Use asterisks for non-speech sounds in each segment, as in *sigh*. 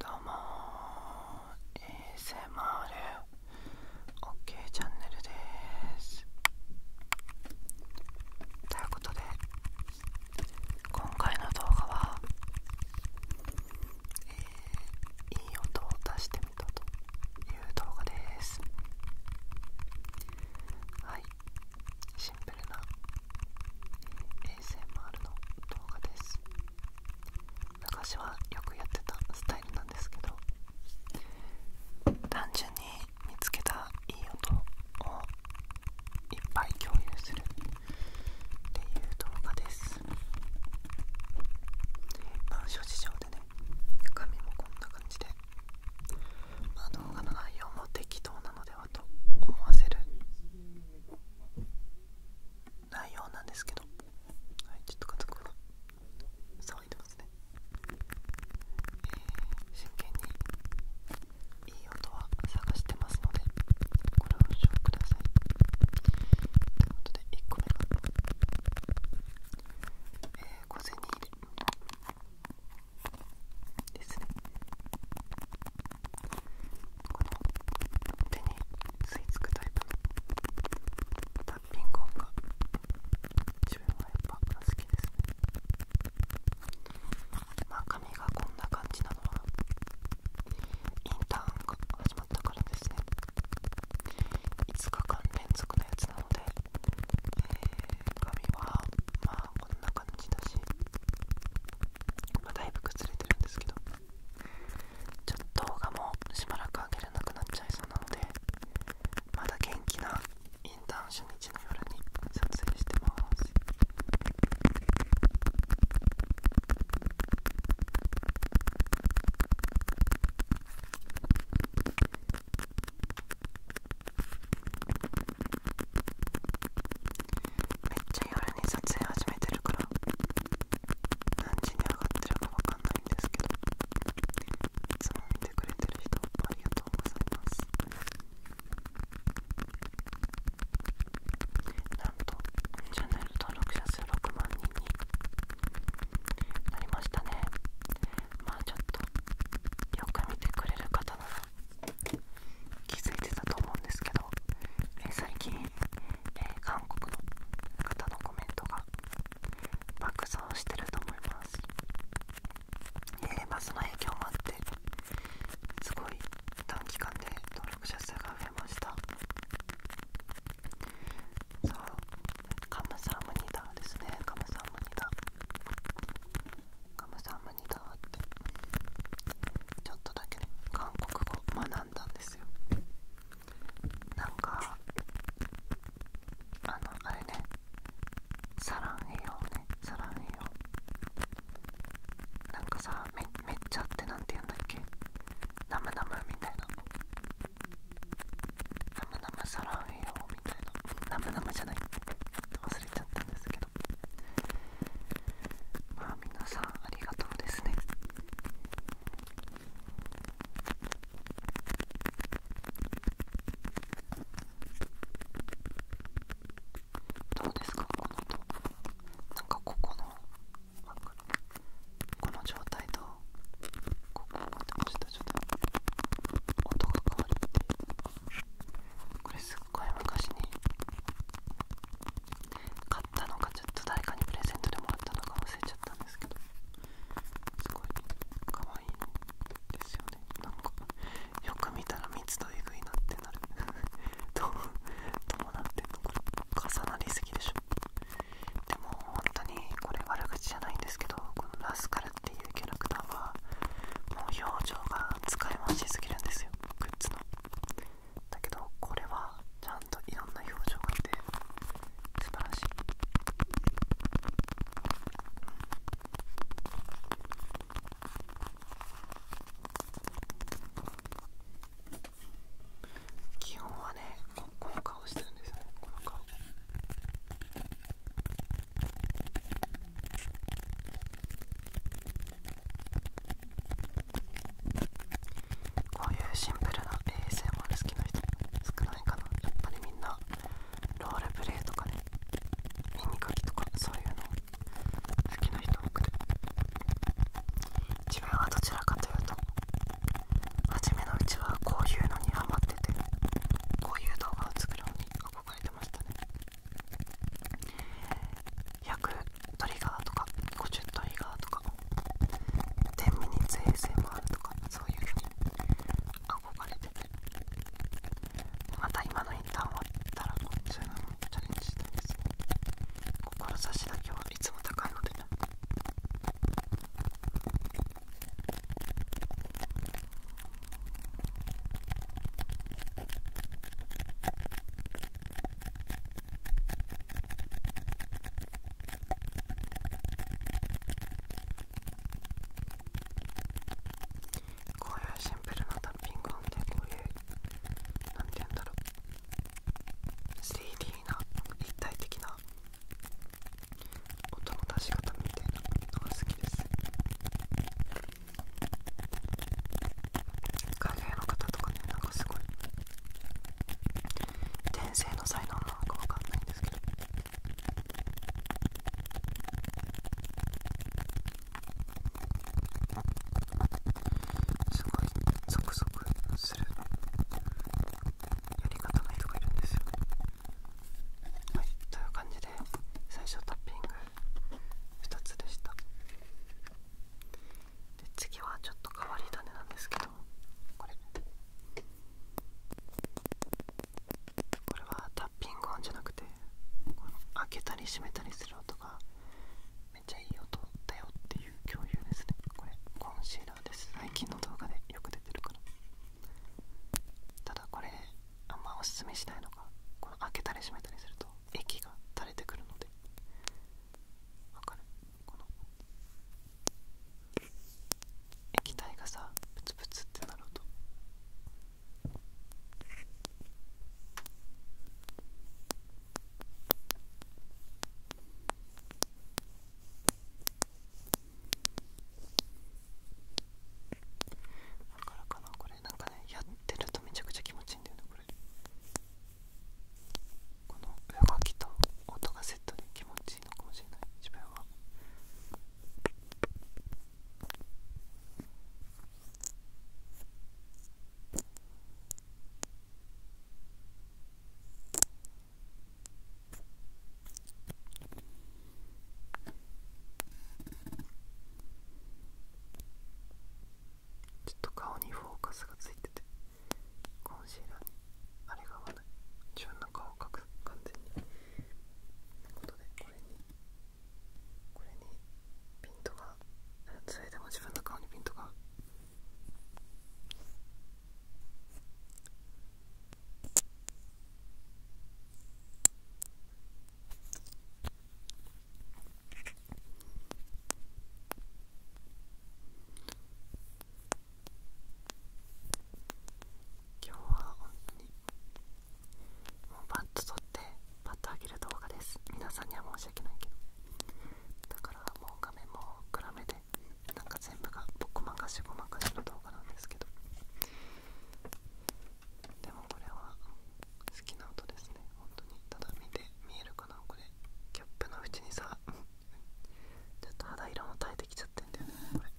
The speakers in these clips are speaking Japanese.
どうもー ASMROK、OK、チャンネルですということで今回の動画は、えー、いい音を出してみたという動画ですはいシンプルな ASMR の動画です。昔はよくやってたスタイルなんですけど単純に見つけたいい音をいっぱい共有するっていう動画ですまあ諸事情でね中身もこんな感じであ動画の内容も適当なのではと思わせる内容なんですけど、はい、ちょっと家族が騒いでますね、えー、真剣にいい音は探してますのでご了承くださいということで1個目が、えー、小銭入れですねこの手に吸い付くタイプのタッピング音が自分はやっぱ好きですねまあ髪がこんな感じなのはインターンが始まったからですね5日間連続のやつなので、えー、髪はまあこんな感じだしまあ、だいぶ崩れてるんですけどちょっと動画もしばらく上げれなくなっちゃいそうなのでまだ元気なインターン初日の夜に撮影してますめっちゃ夜に撮影始めてるから何時に上がってるかわかんないんですけどいつも見てくれてる人ありがとうございますなんとチャンネル登録者数6万人になりましたねまあちょっとよく見てくれる方なら気づいてたと思うんですけどえ最近、え韓国の方のコメントが爆増してると思います、えーまその影響もあってすごい短期間で登録者数が増えましたそうカムサムニターですねカムサムニターカムサムニターってちょっとだけ韓国語学んだんです。なんかあのあれねサランヘヨねサランヘヨなんかさめっちゃって何て言うんだっけナムナムみたいなナムナムサランヘヨみたいなナムナムじゃない忘れちゃったんですけどまあ皆さんありがとうですねどうですかこの音なんかここのこの状態とここをちょっとちょっと音が変わるってこれすっごい昔に買ったのがちょっと誰かにプレゼントでもらったのか忘れちゃったんですけどすごい可愛いですよねなんかよく見たら密度えぐいなってなる *laughs* どうどうなんてんのこれ重なりすぎでしょでも本当にこれ悪口じゃないんですけどこのラスカルっていうキャラクターはもう表情が使い回しすぎるんですよグッズのだけどこれはちゃんといろんな表情がいて素晴らしい、基本はねこの顔してるんですよねこの顔こういうシンプルな ASMR 好きな人少ないかなやっぱりみんなロールプレイとかね耳かきとかそういうの好きな人多くて自分はどちらかというと初めのうちはこういうのにハマっててこういう動画を作るのに憧れてましたね100トリガーとか50トリガーとか10ミニッツ ASMR とかそういうふうに憧れてまた今のインターン終わったらこっちのチャレンジしたいですね。志だけはいつも高いのでねこういうシンプルなダッピング音でこういうなんて言うんだろう 3D な立体的な音の出し方みたいなのが好きです海外の方とかねなんかすごい転生の才能なのかわかんないんですけどすごいゾクゾクするやり方の人がいるんですよはいという感じで最初タッピング2つでしたで次はちょっと変わり種なんですけどこれこれはタッピング音じゃなくてこの開けたり閉めたりする音がめっちゃいい音だよっていう共有ですねこれコンシーラーです最近の動画でよく出てるからただこれあんまおすすめしないのがこの開けたり閉めたりすると液が垂れてくるのでわかるこの液体がさプツプツってなるとだからかなこれなんかねやってるとめちゃくちゃ気持ちいいんだよねこれこの動きと音がセットで気持ちいいのかもしれない自分は。ちょっと顔にフォーカスがついててコンシーラーにあれが合わない自分の顔を描く完全にということでこれにこれにピントがそれでも自分の顔にピントがこ今日は本当にもうバッと撮ってパッと上げる動画です皆さんには申し訳ないけどだからもう画面も暗めでなんか全部が僕まかしごまかしの動画なんですけどでもこれは好きな音ですね本当にただ見て見えるかなこれキャップの縁にさちょっと肌色も耐えてきちゃってんだよねこれ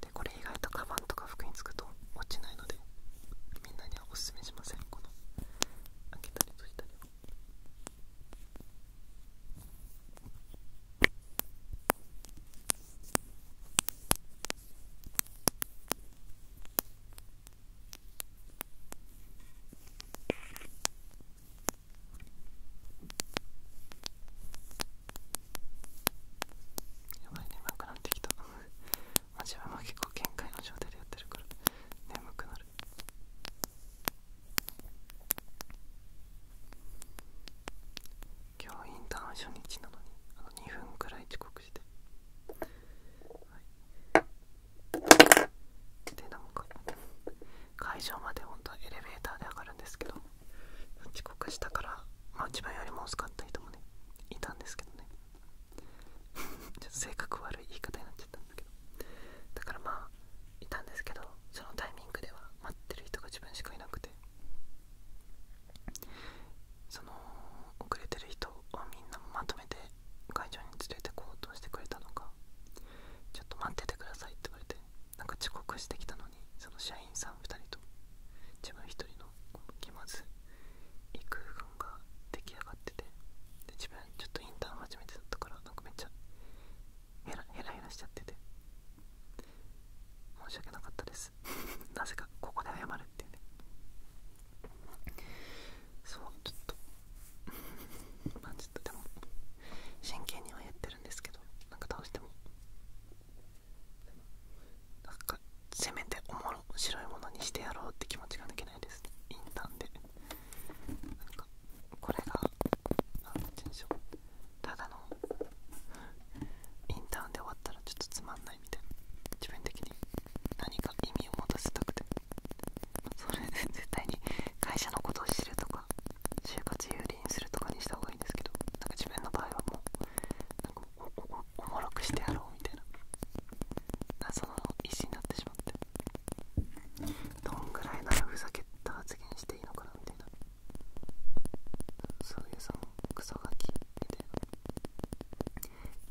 でこれ意外とカバンとか服につくと落ちないのでみんなにはおすすめしませんこの開けたり閉じたりをこやばい眠くなってきた *laughs* マジは結構限界の状態でやってるから眠くなる今日インターン初日なのにあの2分くらい遅刻してはいでなんか会場まで本当はエレベーターで上がるんですけど遅刻したからまあ自分よりも遅かった人もねいたんですけどね *laughs* ちょっと性格悪い言い方になっちゃったんだけどだからまあいたんですけどそのタイミングでは待ってる人が自分しかいなくてその遅れてる人をみんなまとめて会場に連れてこうとしてくれたのかちょっと待っててくださいって言われてなんか遅刻してきたのにその社員さん2人と自分1人の気まずい空間が出来上がっててで自分ちょっとインターン初めてだったからなんかめっちゃヘラヘラヘラしちゃってて申し訳なかったです *laughs* なぜかここで謝るっていうねそうちょっと *laughs* まちょっとでも真剣にはやってるんですけどなんか倒してもなんかせめておもろ白いものにしてやろうって気持ちが抜けないですインターンでなんかこれが何て言うんしょうただのインターンで終わったらちょっとつまんないみたいな自分的に何か意味を持たせたくてそれで絶対に会社のことを知るとか就活有利にするとかにした方がいいんですけどなんか自分の場合はもうなんかおもろくしてやろうみたいなその意思になってしまってどんぐらいならふざけた発言していいのかなみたいなそういうそのクソガキみたいな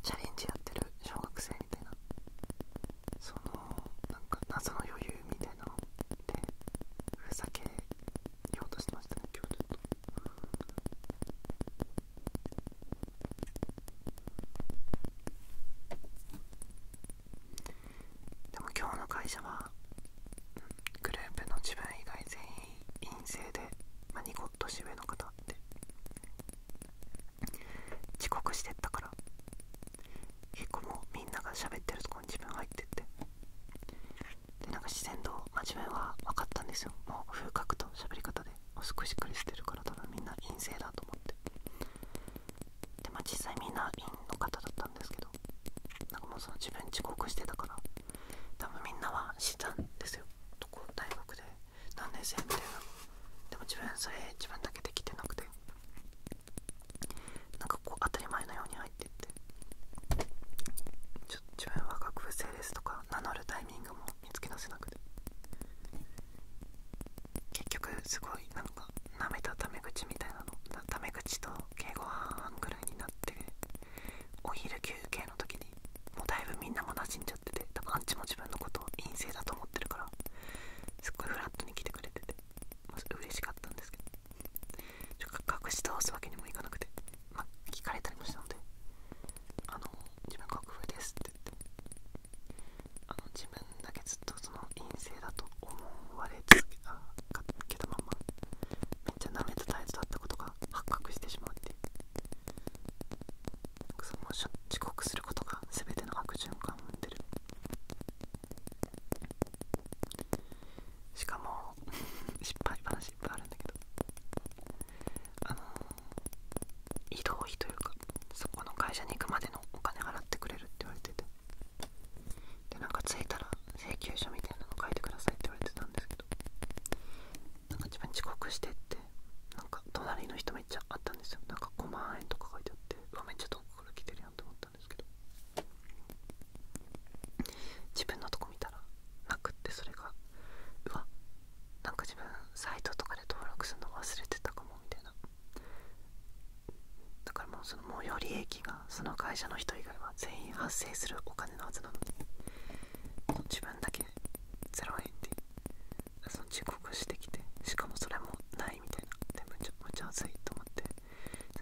チャレンジやってる小学生みたいなそのなんか謎の余裕みたいなのってふざけようとしてましたね今日ちょっとでも今日の会社はグループの自分以外全員陰性でまあニコッ上の方って遅刻してったから結構もうみんながしゃべってるとこに自分入ってってでなんか自然と、まあ、自分は分かったんですよもう風格と喋り方で少しくれしてるから多分みんな陰性だと思ってでま実際みんな陰の方だったんですけどなんかもうその自分遅刻してたから多分みんなは知ったんですよと大学で何年生みたいでも自分それ自分だけできてなくてなんかこう当たり前のように入っていってちょ自分は学生ですとか名乗るタイミングも見つけ出せなくて結局すごいなんかなめたタメ口みたいなのタメ口と敬語半々ぐらいになってお昼休憩の時にもうだいぶみんなもなじんじゃってて多分アンチも自分のこと陰性だと思ってるからすっごいフラットに来てくれてて、まあ、嬉しかったんですけど隠し通すわけにもいかなくて、まあ、聞かれたりもしたので「あの自分国風です」って言ってあの自分だけずっとその陰性だと思われ続けあけたままめっちゃ舐めた態度だったことが発覚してしまってその遅刻することがすべての悪循環を生んでるしかも *laughs* 失敗話いっぱいあるんだけどあの移動費というかそこの会社に行くまでのお金払ってくれるって言われててでなんか着いたら請求書みたいなの書いてくださいって言われてたんですけどなんか自分遅刻してってなんか隣の人めっちゃ会ったんですよなんか5万円とか書いてあっててめっちゃ遠くから来てるやんと思ったんですけど自分のとこ見たらなくってそれがうわなんか自分サイトとかで登録するの忘れてたかもみたいなだからもうその模様。利益がその会社の人以外は全員発生するお金のはずなのに自分だけ0円でその遅刻してきてしかもそれもないみたいなでむちゃちゃ熱いと思って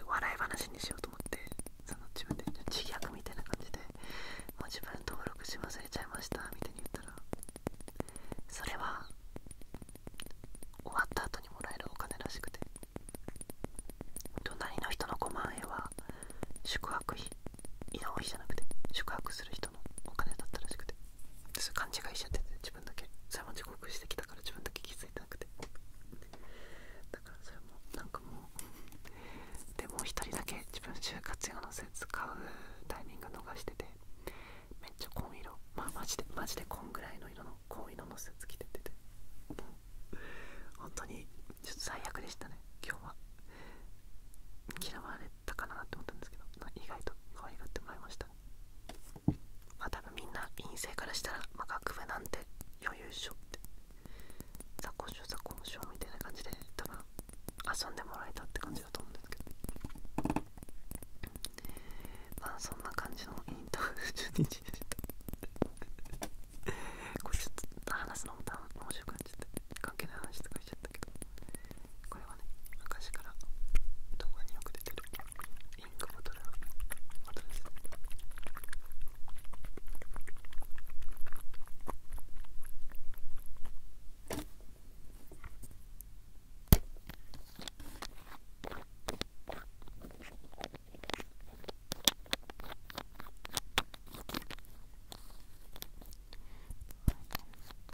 笑い話にしようと思ってその自分で自虐みたいな感じでもう自分登録し忘れちゃいましたみたいに言ったらそれは終わった後にもらえるお金らしくて隣の人の5万円は宿泊費移動費じゃなくて宿泊する人人のお金だったらしくそれ勘違いしちゃってて自分だけそれも遅刻してきたから自分だけ気づいてなくてだからそれもなんかもうでもう一人だけ自分就活用のせ使うタイミング逃しててめっちゃ紺色まあマジでマジで紺ぐらいの色の紺色のスーツ着ててて本当にちょっと最悪でしたね今日は嫌われったかなって思ったんですけど、意外と可愛がってもらいましたまあ多分みんな陰性からしたら、まあ、学部なんて余裕っしょって雑魚しよう雑魚しよみたいな感じで多分遊んでもらえたって感じだと思うんですけどまあそんな感じのインター1日でしたこれちょっと話すのも多分面白く感じて関係ない話とかしちゃったけどこれはね昔から動画によく出てるインクボトルのボトルです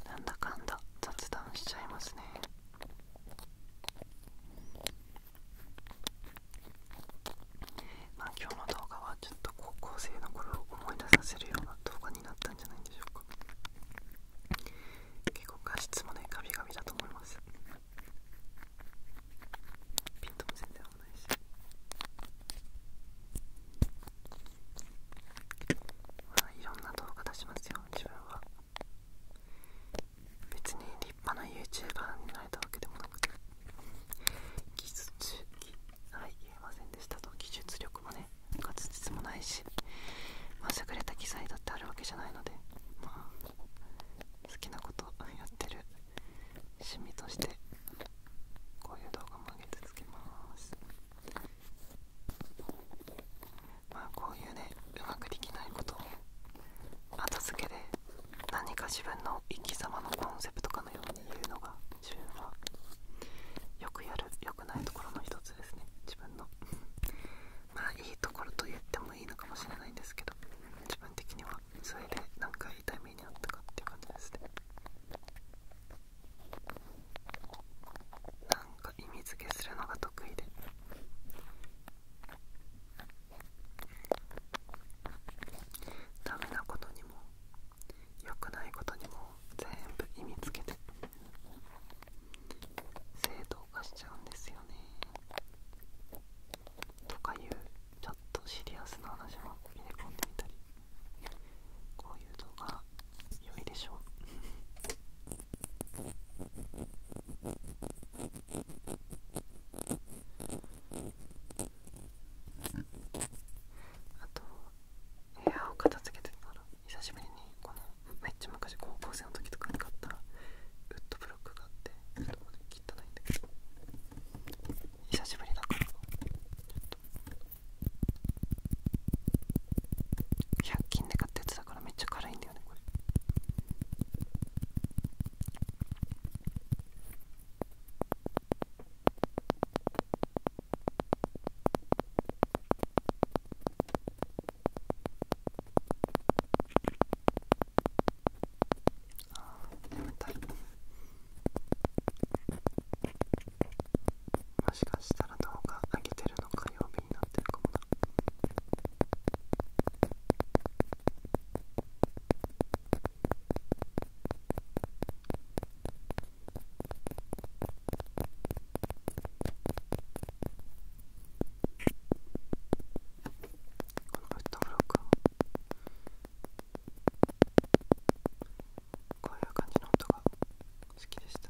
なんだかんだ雑談しちゃいますねまあ今日の動画はちょっと高校生の頃を思い出させるような動画になったんじゃないでしょうか結構画質もねガビガビだと思いますピントも全然合わないしまあいろんな動画出しますよ自分は別に立派な YouTuber になれたわけでもなくて技術は言えませんでしたと技術力もね滑舌もないし、優れた機材だってあるわけじゃないのでまあ好きなことやってる趣味としてこういう動画も上げ続けますまこういうねうまくできないことを後付けで何か自分の生き様のコンセプトかのように言うのが自分はよくやるよくないところの一つですね自分のまあいいところと言ってもいいのかもしれないんですけど自分的にはそれで何か痛い目にあったかっていう感じですねなんと意味付けするのが得意でダメなことにも良くないことにも全部意味付けて正当化しちゃうんですよねとかいうちょっとシリアスな話も入れ込んでみたりこういう動画良いでしょうあと部屋を片付けてたら久しぶりにこのめっちゃ昔高校生の時とかに買ったウッドブロックがあってそょっとこ切ったないんだけど久しぶりだからちょっと100均で買ったやつだからめっちゃ辛いんだよねあ眠たもしかしたら動画上げてるの火曜日になってるかもなこのフットブロックは。こういう感じの音が好きでした。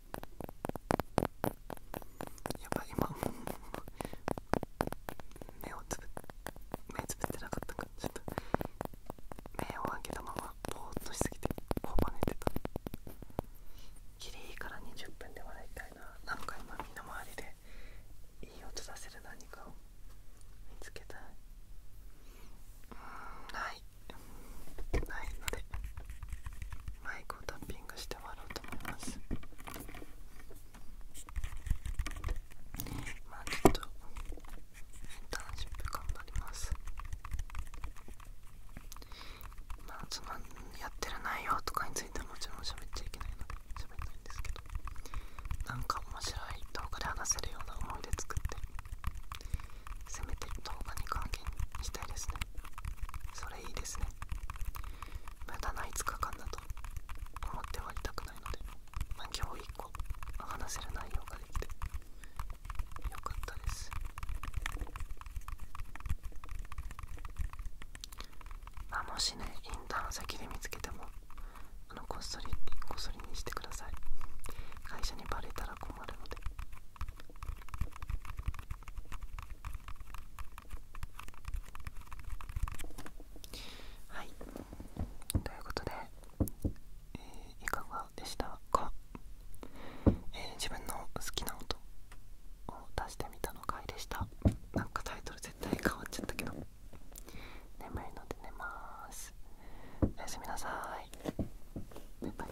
やばい今もう目をつぶ目つぶってなかったかちょっと目を開けたままぼーっとしすぎてこばねてたきりいから20分で笑いたいななんか今みんな周りでいい音出せる何かを見つけたいないのでマイクをタッピングして終わろうと思いますまあちょっとインターンシップ頑張りますまあそのやってる内容とかについてはもちろん喋っちゃいけないので喋んないんですけど何か面白い動画で話せるような思い出作ってせめて動画に還元したいですねそれいいですねま駄ない5日間だと思って終わりたくないので、まあ、今日1個話せる内容ができてよかったですあもしねインターン先で見つけてもあのこっそりこっそりにしてください会社にバレたら困るのではいということで、えいかがでしたか、自分の好きな音を出してみたの回でしたなんかタイトル絶対変わっちゃったけど眠いので寝ますおやすみなさいバイバイ